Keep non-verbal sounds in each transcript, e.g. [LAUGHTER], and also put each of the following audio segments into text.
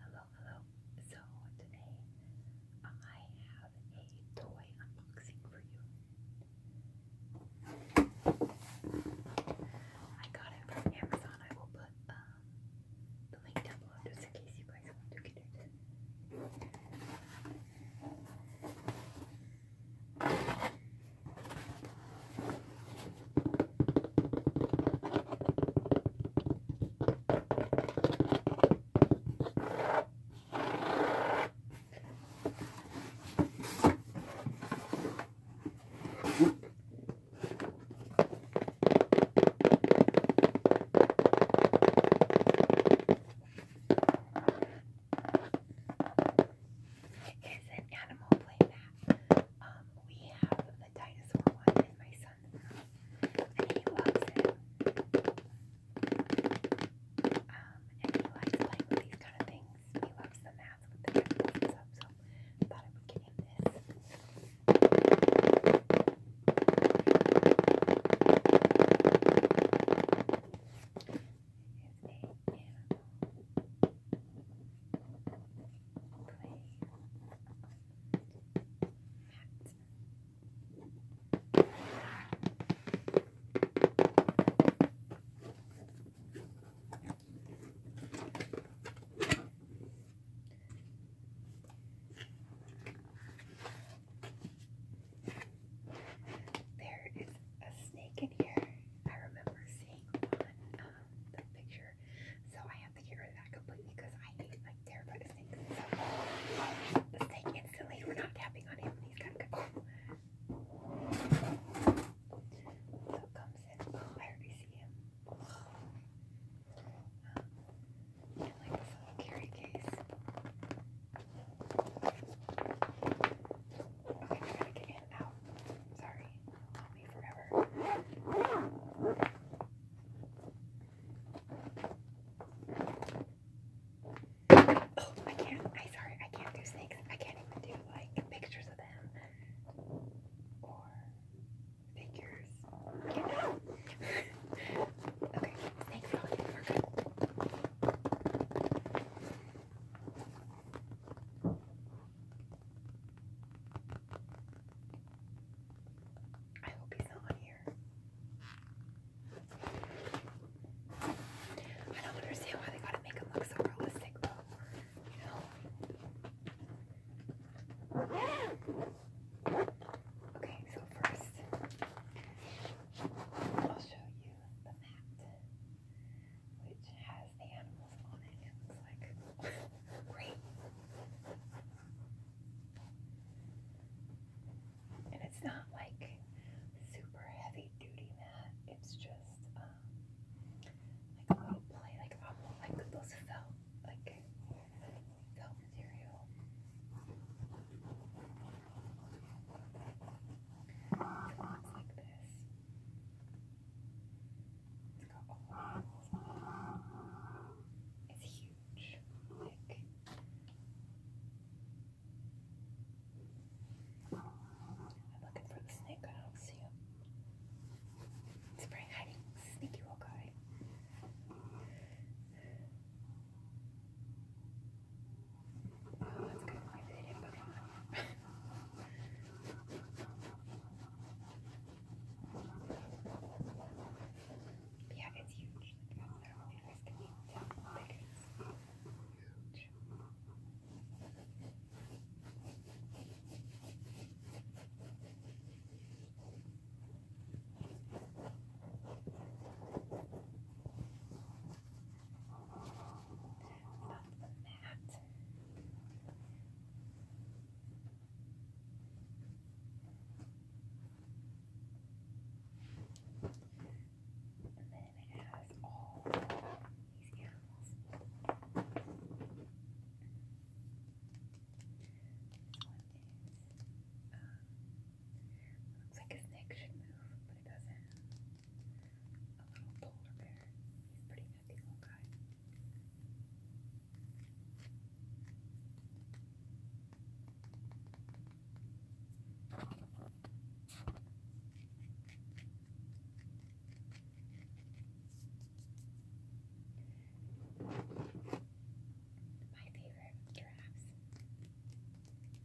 Hello, hello. So today I have a toy unboxing for you. I got it from Amazon. I will put um, the link down below just in case you guys want to get it. It's an animal playmat. Um, we have the dinosaur one and my son and he loves it. Um, and he likes playing these kind of things. He loves the math with the chemicals and stuff, so I thought I would get him this. It's a animal play mat. There is a snake in here. I remember seeing one the picture. So I have to get that completely because I hate like terrified of snakes. So mistake instantly. We're not tapping on him. He's got So it comes in. Oh, I already see him. Um, like this little carry case. Okay, I gotta get in and Sorry. Oh, I can't. I sorry, I can't do snakes. I can't even do like pictures of them or figures. You [LAUGHS] know. okay, snakes are good. I hope he's not here. I don't understand why they gotta make him look so realistic, though. You know? Okay, so first, I'll show you the mat which has the animals on it. It looks like [LAUGHS] great. And it's not like super heavy duty mat. It's just um, like a little play, like almost like those felt, like felt material. It looks like this it It's huge. I'm looking for the snake, I don't see him. It's hiding. Sneaky little Oh, that's kind of like they did Pokemon. yeah, it's huge. Like, I don't know if you guys can even tell how big it is. Huge. I Love that. And then it has all these animals. looks like his neck should move, but it doesn't. A little polar bear. He's a pretty nutty little guy. My favorite giraffes.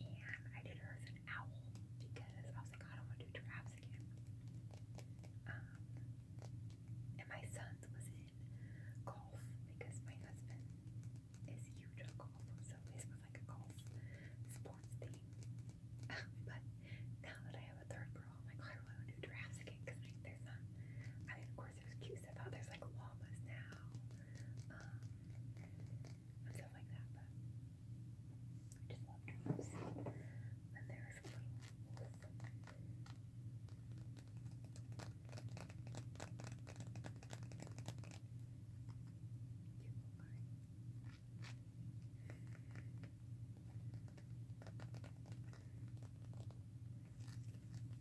and I did her as an owl because I was like, oh, I don't want to do giraffes again. Um, and my son's was in golf because my husband is huge on golf, so his was like a golf sports thing. [LAUGHS] but now that I have a third girl, I'm like, oh, not do giraffes again because there's not. I mean, of course, there's cute stuff There's like llamas now, um, and stuff like that. But I just love dogs. And there's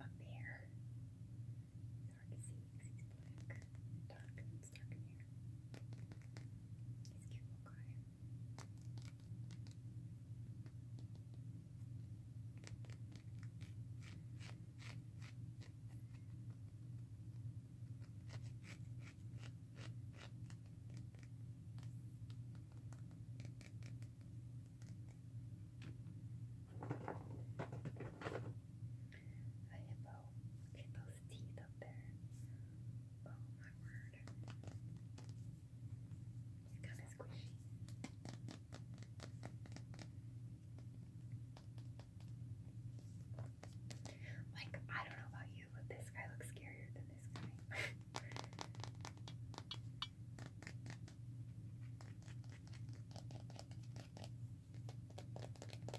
Up here, it's hard to see because it's it's dark in here. He's a cute little guy a hippo. Look those teeth up there. Oh my word. It's kind of squishy. Like, I don't know about you, but this guy looks scarier than this guy. [LAUGHS] gorilla, always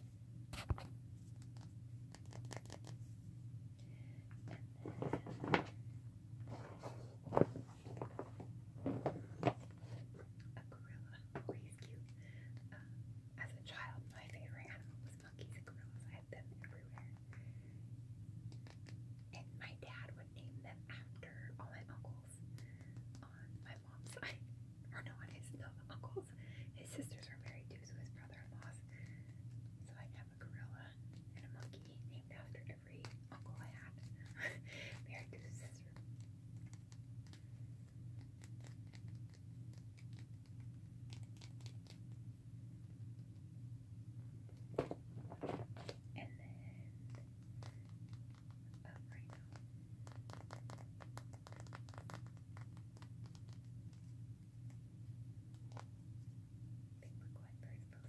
as a child, my favorite animal was monkeys and gorillas. I had them everywhere. And my dad would name them after all my uncles [LAUGHS] on my mom's side. [LAUGHS] Or no, on his no, uncles. His sisters were married to his brother-in-laws. So I have a gorilla and a monkey named after every uncle I had. [LAUGHS] married to his sister. And then up right look what birds post them now. And then an alligator.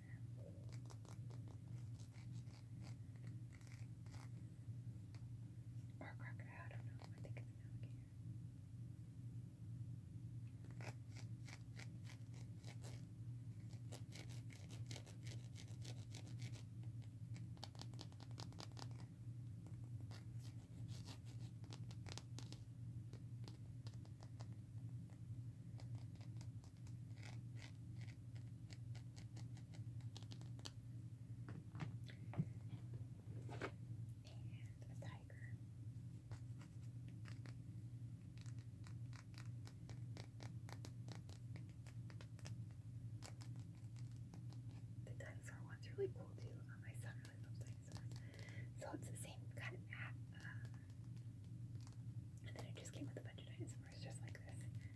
Or a I don't know. I think it's an alligator. And a tiger. The dinosaur one's really cool too. my son really loves dinosaurs. So it's the same kind of uh, and then it just came with a bunch of dinosaurs just like this. And then,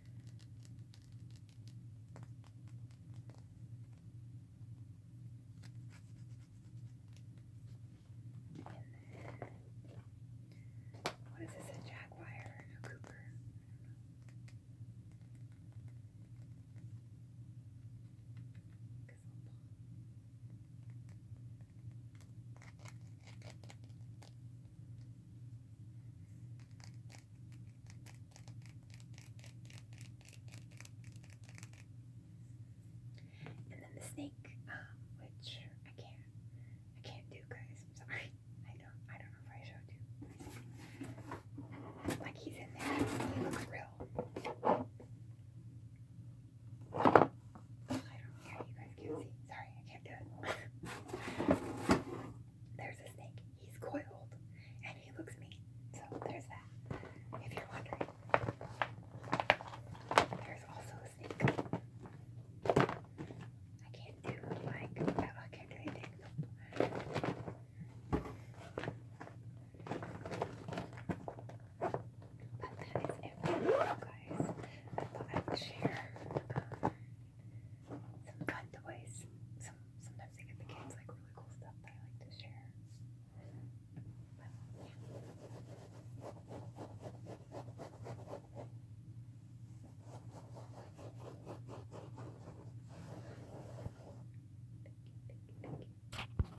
what is this, jaguar? A cougar? example. And then the snake, um, which I can't, I can't do, guys. sorry. I don't, I don't know if I showed you. Like he's in there. real. I don't yeah, you guys can't see. Sorry, I can't do it. there's a snake. He's coiled and he looks mean. So there's that. If you're wondering. There's also a snake. I can't do like I can't do anything. Nope. But that is it for now, guys. I thought I would share um, some fun toys. Some, sometimes they give the kids like really cool stuff that I like to share.